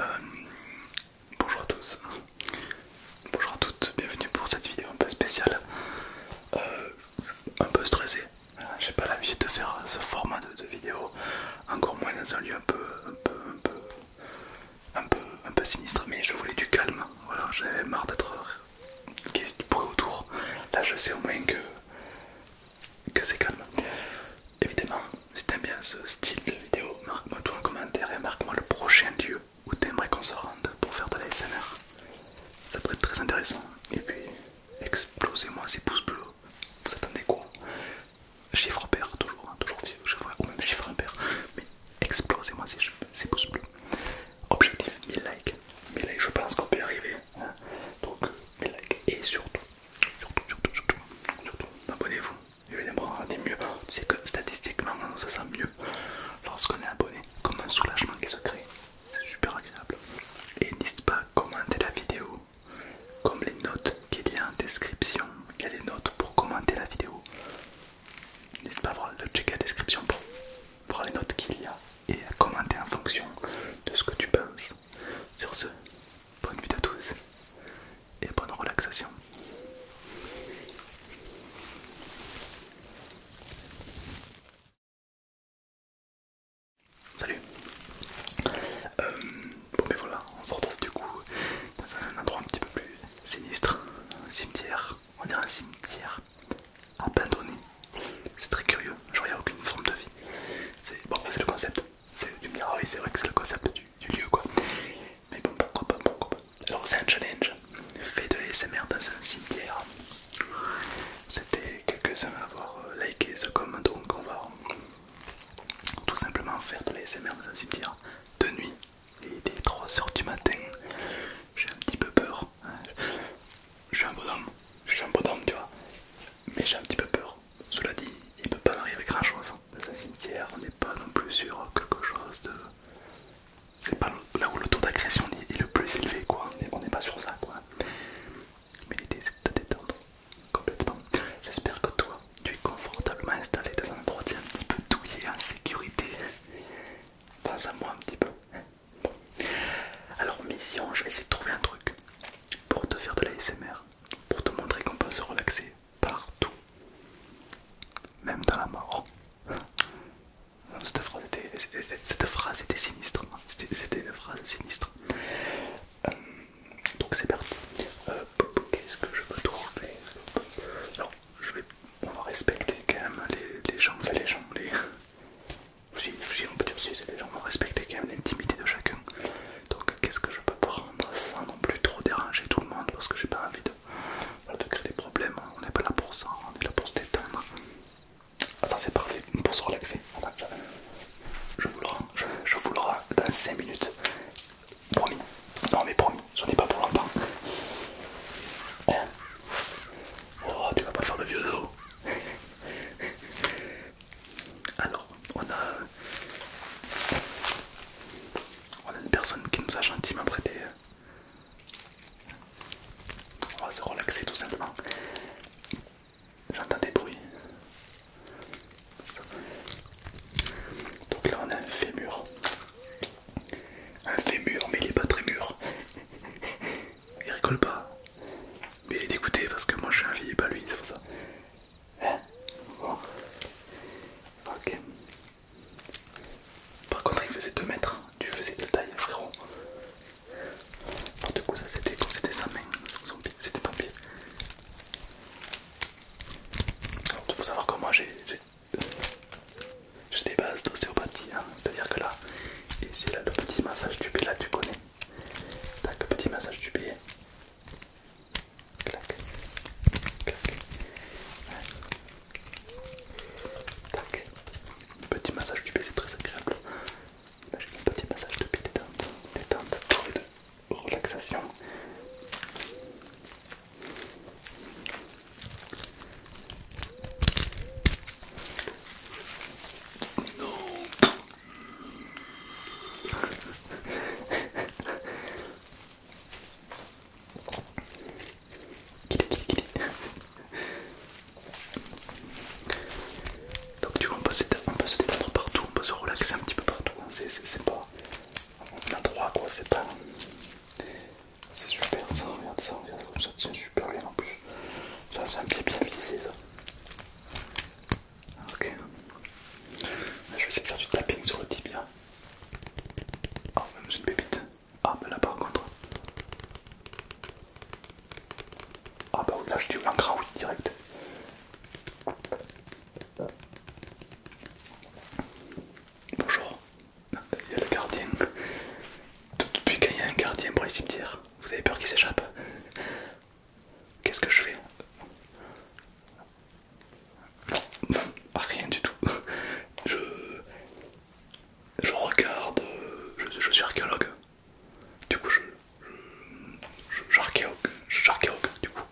Euh, bonjour à tous, bonjour à toutes, bienvenue pour cette vidéo un peu spéciale. Euh, un peu stressé, euh, j'ai pas l'habitude de faire ce format de, vidéo, encore moins dans un lieu un peu, un peu, un peu, sinistre, mais je voulais du calme. Voilà, j'avais marre d'être qui autour. Là, je sais au moins que, que c'est calme. Évidemment, si t'aimes bien ce style de vidéo, marque-moi tout en commentaire et marque-moi le prochain lieu où t'aimerais qu'on se rende pour faire de la SMR. Ça pourrait être très intéressant. Et puis, explosez-moi ces pouces bleus. Vous attendez quoi Chiffre pair, toujours, hein, toujours vieux, ou même chiffre impair. Mais explosez-moi ces, pouces bleus. Objectif 1000 likes. 1000 likes, je pense qu'on peut y arriver. Hein. Donc, 1000 likes. Et surtout, surtout, surtout, surtout, surtout abonnez-vous. Évidemment, on mieux. Tu sais que statistiquement, on se sent mieux lorsqu'on est abonné, comme un soulagement qui se crée. C'est super agréable. Et n'hésite pas à commenter la vidéo, comme les notes qu'il y a en description. Il y a des notes pour commenter la vidéo. N'hésite pas à checker à description pour voir les notes qu'il y a et à commenter en fonction de ce que tu penses. Sur ce, bonne vue à tous et bonne relaxation. Salut euh, Bon mais voilà, on se retrouve du coup dans un endroit un petit peu plus sinistre, un cimetière, on dirait un cimetière abandonné. C'est très curieux, il n'y a aucune forme de vie. C'est bon, le concept. Tu me diras, oui, c'est vrai que c'est le concept du, lieu quoi. Mais bon, pourquoi pas, pourquoi pas. Alors, c'est un challenge. Fais de l'ASMR dans un cimetière. C'était quelques-uns à avoir euh, liké ce comment donc on va tout simplement faire de l'ASMR dans un cimetière de nuit. et des 3h du matin. J'ai un petit peu peur. Hein. Je suis un bonhomme, je suis un bonhomme, tu vois. Mais j'ai un petit peu peur. Cela dit, il peut pas m'arriver grand chose dans un cimetière, on n'est pas non plus sur quelque chose de. C'est pas là où le taux d'agression est le plus élevé, quoi. On n'est pas sur ça, quoi. Mais l'idée c'est de te détendre complètement. J'espère que toi, tu es confortablement installé dans un est un petit peu douillé, en sécurité. Pense à moi un petit peu. Alors, mission, je vais essayer de trouver un truc pour te faire de la SMR, pour te montrer qu'on peut se relaxer partout, même dans la mort. Cette phrase était, sinistre. Hein. C'était une phrase sinistre. Euh, donc c'est parti. Euh, qu'est-ce que je peux trouver je vais, on va respecter quand même les, gens, les gens, les. Si, on peut dire si les gens, vont respecter quand même l'intimité de chacun donc qu'est-ce que je peux prendre sans non plus trop déranger tout le monde parce que j'ai pas envie de, créer des problèmes, on n'est pas là pour ça, on est là pour se détendre. Ah, ça c'est parfait, pour se relaxer. je vous le je, vous dans 5 minutes. Promis, non mais promis, j'en ai pas pour longtemps. Eh. oh, tu vas pas faire de vieux dos. Alors, on a, une personne qui nous a gentiment prêté. Euh, on va se relaxer tout simplement. J'entends des bruits. Donc là on a un fémur. Un fémur mais il est pas très mûr. il rigole pas. Mais il est dégoûté parce que moi je suis un vieil, pas lui, c'est pour ça. Hein Ok. Par contre, il faisait 2 mètres. Tu faisais de taille, frérot. du coup, ça c'était c'était sa main, c'était ton pied. il faut savoir que moi j'ai des bases d'ostéopathie, hein. c'est-à-dire que là, ici, c'est là le petit massage du pied, là tu connais. Tac, petit massage du pied. Clac. Clac. Petit massage du pied, c'est très agréable. un petit massage de pied détente. Détente de relaxation. Donc tu vois on peut, se détendre partout, on peut se relaxer un petit peu partout, hein. c'est pas... On quoi, c'est pas... C'est super ça, regarde ça, regarde ça ça tient super bien en plus. Ça c'est un pied bien vissé ça. Ok. Je vais essayer de faire du tapping sur le tibia. Oh, même une pépite. Ah, ben là par contre. Ah, bah oui, là je tue un oui direct. Bonjour. Il y a le gardien. Depuis quand il y a un gardien pour les cimetières, vous avez peur qu'il s'échappe Qu'est-ce que je fais non, ah, rien du tout. Je, je regarde, je, suis archéologue. Du coup, je, je, je Du coup,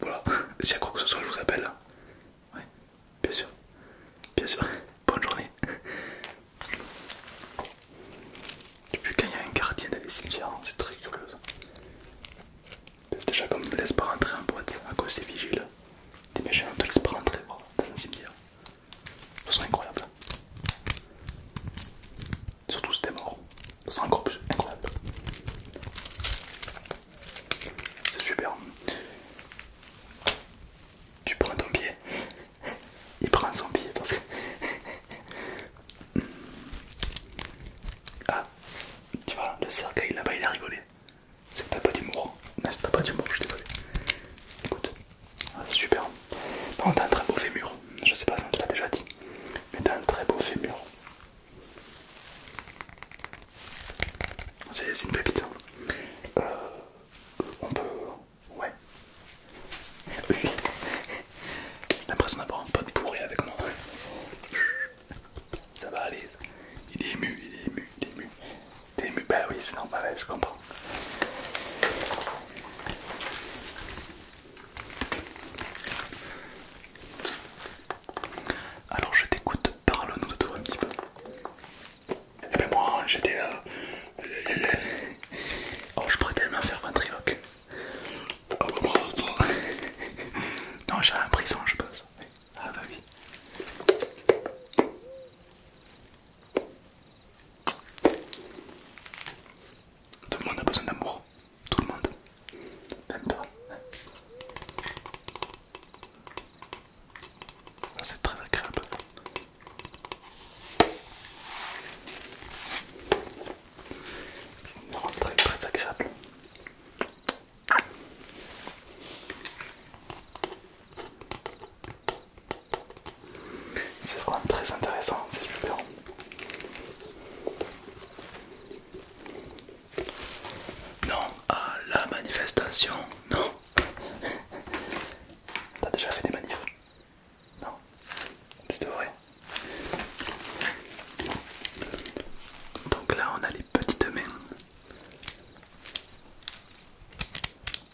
voilà. S'il y a quoi que ce soit, je vous appelle. Ouais, bien sûr, bien sûr. Bonne journée. Depuis quand il y a un gardien dans les cimetières, hein, c'est très curieux. Déjà comme me laisse pas rentrer en boîte à cause des vigiles. Des méchants te laissent pas rentrer dans un cimetière. Ce sont incroyable. Surtout si t'es mort. Ce sont encore plus incroyables. C'est super. Tu prends ton pied. Il prend son pied parce que... Ah, tu vois, le cercueil là-bas il a rigolé. C'est que t'as pas d'humour. Non, c'est pas d'humour, je suis désolé. Écoute, ah, c'est super. t'as un très beau fémur. Je sais pas si on te l'a déjà dit, mais t'as un très beau fémur. C'est une pépite. Hein. Euh, on peut. Ouais. J'ai l'impression d'avoir un pote bourré avec moi. Ça va aller. Il est ému, il est ému, il est ému. T'es ému Bah oui, c'est normal, je comprends. Alors je t'écoute, parle-nous de toi un petit peu. Et eh ben moi j'étais... Euh, euh, euh, oh je pourrais tellement faire un trilogue. Oh, non, j'ai un prison, je pense. Ah bah oui. Tout le monde a besoin d'amour. Tout le monde. Même toi. C'est très agréable. Non, très très agréable. C'est vraiment très intéressant, c'est super. Non à la manifestation, non. T'as déjà fait des manifs Non Tu devrais. Donc là, on a les petites mains.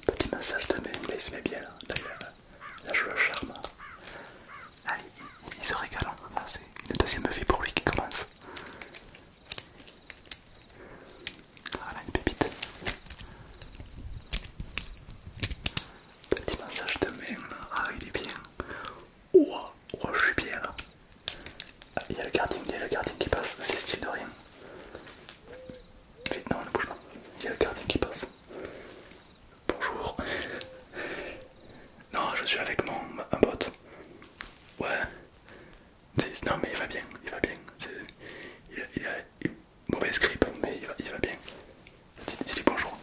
Petit massage de main, il se met bien là, hein, d'ailleurs. Là, je le charme. Allez, il se régale. Hein. c'est une deuxième vie pour lui qui commence. Voilà une pépite. Petit massage de main. Ah, il est bien. Oh, je suis bien là. Ah, il y a le gardien qui passe. C'est style de rien. Vite, non, ne bouge pas. Il y a le gardien qui passe. Bonjour. Non, je suis avec mon un pote. Ouais. Non, mais il va bien, il va bien. Il a, une mauvaise grippe, mais il va, il va bien. Dis-lui bonjour.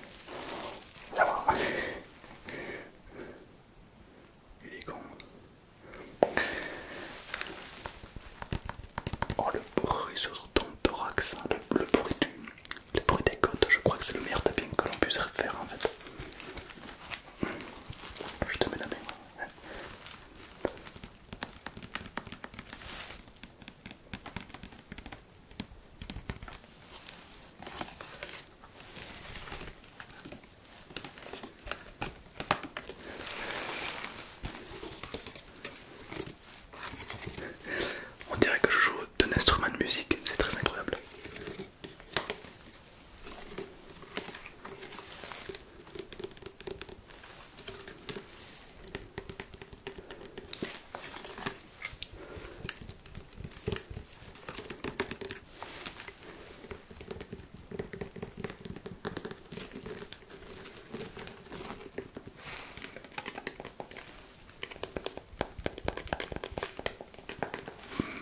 Il est con. Oh le bruit sur ton thorax, hein. le, bruit des côtes, je crois que c'est le meilleur tapis que l'on puisse faire en fait. Je te mets la main. On dirait que je joue d'un instrument de musique, c'est très incroyable.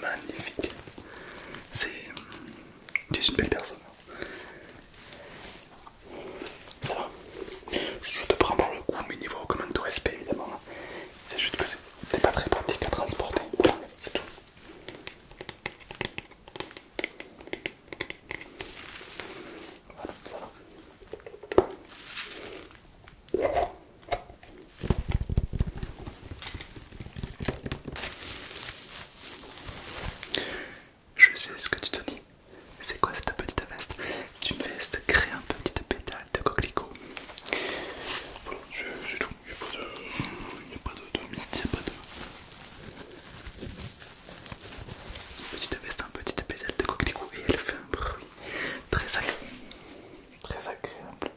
Magnifique. C'est... Tu es une belle personne. Ça va Je te prends par le coup, mais niveau comme tout respect évidemment. C'est juste que c'est c'est pas très pratique à transporter. c'est tout. Je sais ce que tu te dis. C'est quoi cette petite veste C'est une veste créée en petit pétales de coquelicot voilà, tout. Il n'y a pas de, pas de. Petite veste, un petit de coquelicot et elle fait un bruit très agréable. Très agréable.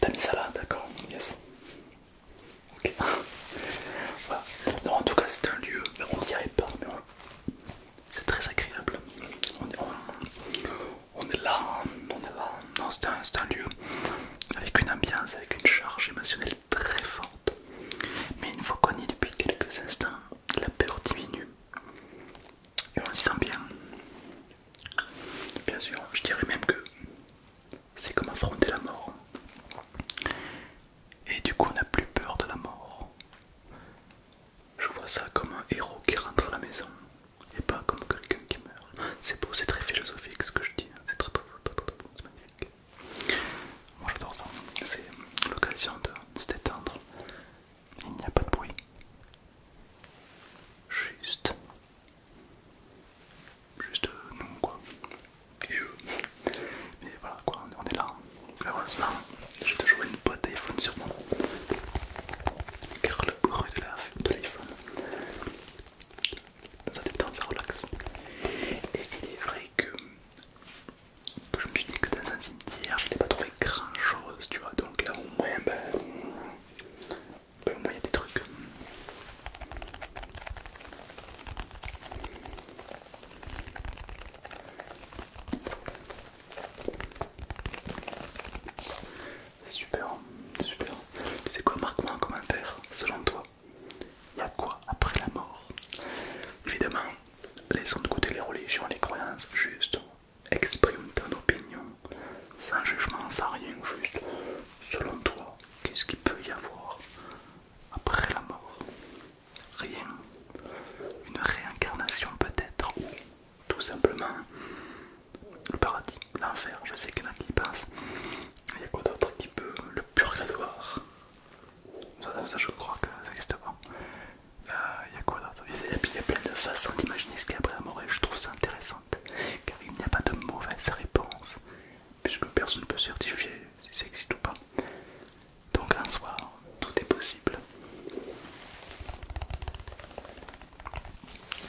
T'as mis ça là, d'accord Yes. Ok. voilà. Non, en tout cas, c'est un lieu, on dirait pas, mais c'est très agréable on est là, on est là. Non, c'est un, lieu avec une ambiance, avec une charge émotionnelle très forte. Mais une fois qu'on y est depuis quelques instants, la peur diminue et on s'y sent bien. Bien sûr, je dirais même que c'est comme affronter la mort. Et du coup, on n'a plus peur de la mort. Je vois ça comme un héros qui rentre à la maison et pas comme quelqu'un qui meurt. C'est beau, c'est très philosophique ce que je dis, hein. c'est très très très beau, c'est magnifique. Moi j'adore ça, c'est l'occasion de se détendre. Il n'y a pas de bruit. Juste. Juste nous quoi. Et eux. Mais voilà quoi, on est là. Heureusement, hein. j'ai toujours une boîte d'iPhone sur moi. Car pour le bruit de l'iPhone. Ça temps ça relaxe. Et il est vrai que, que je me suis dit que dans un cimetière, je n'ai pas trouvé grand chose, tu vois. Donc là, au moins, ben, ben, au moins, il y a des trucs. Super, super. Tu sais quoi, marque-moi en commentaire, selon toi, il y a quoi après la mort Évidemment, laissons de côté les religions, les croyances, juste exprime ton opinion, sans jugement, sans rien, juste selon toi, qu'est-ce qu'il peut y avoir après la mort Rien. Une réincarnation peut-être tout simplement le paradis, l'enfer. Je sais qu'il y en a qui y pensent. Il y a quoi d'autre qui peut Le purgatoire. Ça, je crois que ça existe pas. Euh, il y a quoi d'autre Il y a plein de façons d'imaginer ce qu'il y a après la mort et je trouve ça intéressant car il n'y a pas de mauvaise réponse puisque personne ne peut certifier si ça existe ou pas. Donc un soir, tout est possible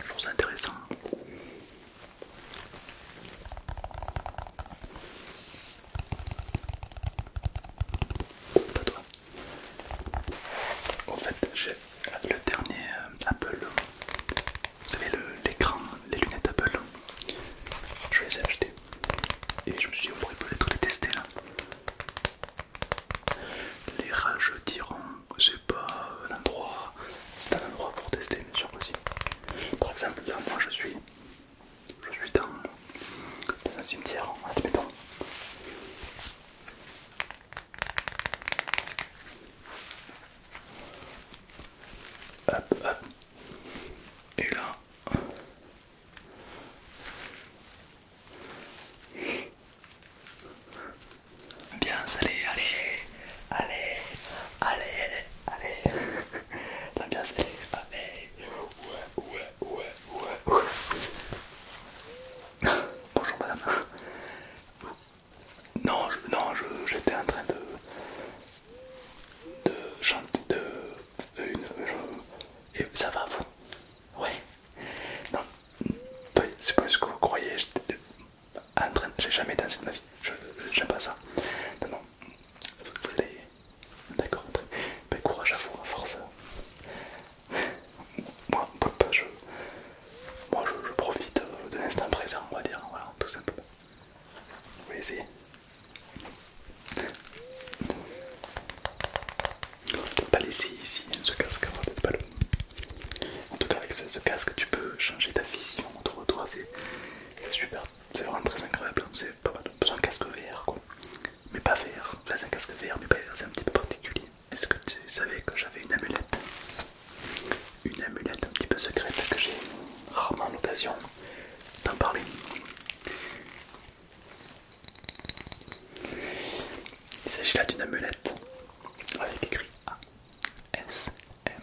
chose intéressant. Pas toi. En fait, j'ai le dernier euh, Apple. Vous savez, l'écran, les lunettes Apple. Je les ai achetées. Et je me suis dit, on pourrait peut-être les tester là. Les diront c'est pas un endroit, c'est un endroit pour tester bien sûr aussi. Par exemple là moi je suis je suis dans, un cimetière, admettons. Hop hop et là Bien salé, allez, allez, allez, allez, allez. bien allez, allez. Ouais, ouais, ouais, ouais, ouais. Bonjour madame. Non, je, non, j'étais en train de, de chanter de une. et ça va vous Ouais. Non, c'est pas ce que vous croyez. J'ai jamais dansé de ma vie. je J'aime pas ça. Non, Vous, allez. D'accord. Ben, courage à vous, à force. Moi, ben, Je... Moi, je, profite de l'instant présent, on va dire. Voilà, tout simplement. Vous voyez, essayer. On peut-être pas laisser ici hein, ce casque, hein, En tout cas avec ce, casque tu peux changer ta vision autour de toi, c'est super, c'est vraiment très incroyable, hein. c'est pas mal. C'est un casque VR quoi, mais pas VR, c'est un casque vert mais pas VR, c'est un petit peu particulier. Est-ce que tu savais que j'avais une amulette Une amulette un petit peu secrète que j'ai rarement l'occasion d'en parler. Il s'agit là d'une amulette avec écrit A S M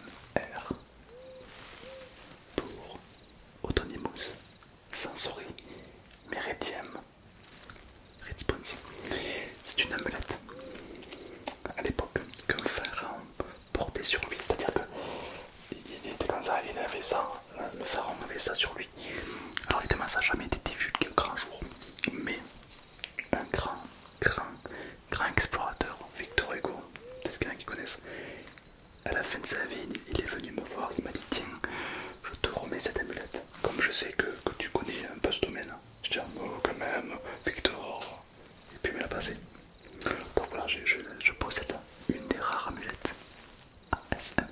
R pour Autonimus, Sensory, Meridium, Response. C'est une amulette à l'époque qu'un pharaon portait sur lui, c'est-à-dire que il était comme ça, il avait ça, le pharaon avait ça sur lui. Alors évidemment ça n'a jamais été divulgué au grand jour, mais un grand, grand, grand explorateur, Victor Hugo, qui connaissent? À la fin de sa vie, il est venu me voir, il m'a dit Tiens, je te remets cette amulette. Comme je sais que, tu connais un peu ce domaine, je dis ah, Oh, quand même, Victor Et puis il me l'a passé. Donc voilà, je, possède une des rares amulettes ASMR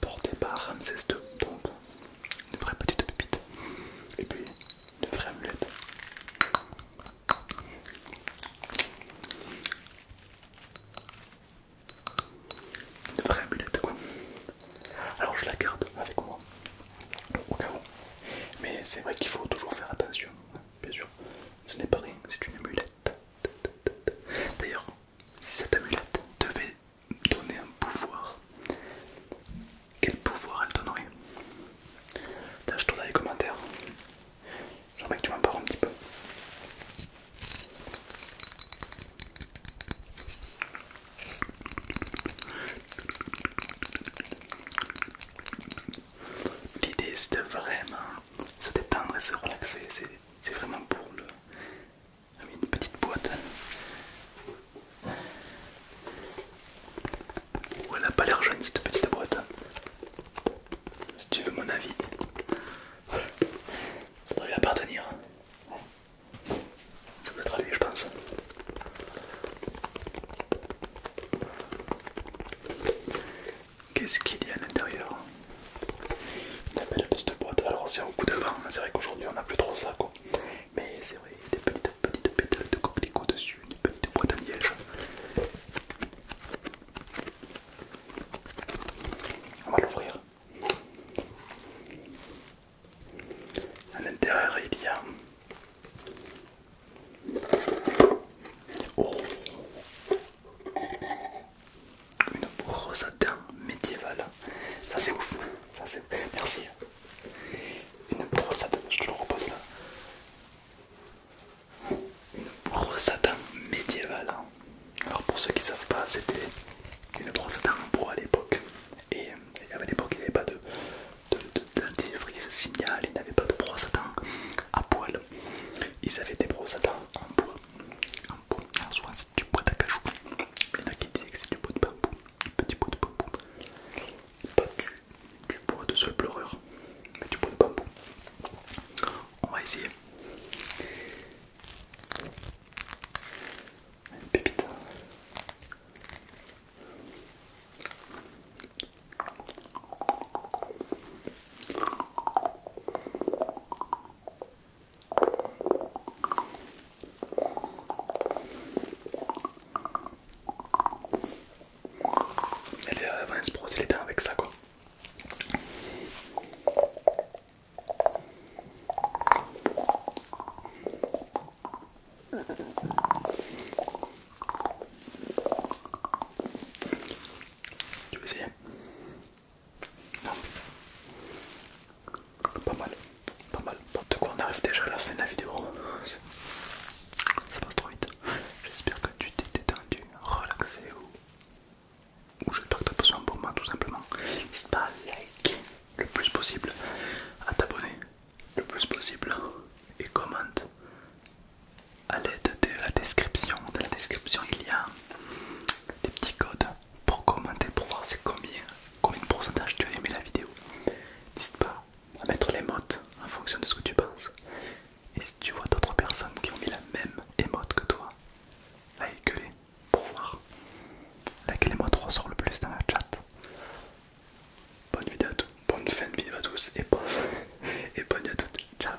portée par Ramsès II une vraie petite pépite et puis une vraie amulette. Une vraie amulette quoi. Alors je la garde avec moi au cas où. Mais c'est vrai qu'il faut toujours faire attention, bien sûr. Ce n'est pas rien, c'est une amulette. D'ailleurs, si cette amulette devait donner un pouvoir, quel pouvoir elle donnerait lâche-toi dans les commentaires. J'aimerais que tu m'en parles un petit peu. L'idée c'est vraiment se détendre et se relaxer, c'est vraiment pour le ah une petite boîte où elle n'a pas l'air jeune cette petite boîte si tu veux mon avis ça doit lui appartenir ça doit être à lui je pense qu'est-ce qu'il y a à l'intérieur la belle petite boîte alors c'est au coup d'avant c'est vrai qu'aujourd'hui on n'a plus trop ça quoi mais c'est vrai, il y a des petites, petites pétales de coquelicot dessus, une petite boîte à liège. On va l'ouvrir. À l'intérieur, il y a. Oh Une brosse à médiévale. Ça c'est ouf. Ça, c'est... Merci. Une brosse à dents, je te le repose là. Une brosse à dents médiévale. Alors pour ceux qui ne savent pas, c'était une brosse à dents en bois à l'époque. Et, à l'époque, il n'y avait pas de dentifrice de, de, signal, il n'y avait pas de brosse à dents à poil. Ils avaient des brosses à dents en bois. En bois. souvent c'est du bois d'acajou. Il y en a qui disaient que c'est du bois de bambou petit bout de bambou, pas du, bois de seul pleureur, mais du bois de bambou. On va essayer. Une pépite. Elle est vraiment se brosser les dents avec ça quoi. Tu veux essayer Non pas mal, pas mal. Bon, de quoi on arrive déjà à la fin de la vidéo. Ça passe trop vite. J'espère que tu t'es détendu, relaxé ou, ou j'espère que tu as besoin pour moi tout simplement. N'hésite pas à liker le plus possible, à t'abonner le plus possible et commente à l'aide de la description. Dans la description, il y a des petits codes pour commenter, pour voir c'est combien, combien de pourcentage tu as aimé la vidéo. N'hésite pas à mettre les en fonction de ce que tu penses. Et si tu vois d'autres personnes qui ont mis la même émote que toi, like-les pour voir laquelle emote ressort le plus dans la chat. Bonne vidéo à bonne fin de vidéo à tous et bonne, et bonne à toutes. Ciao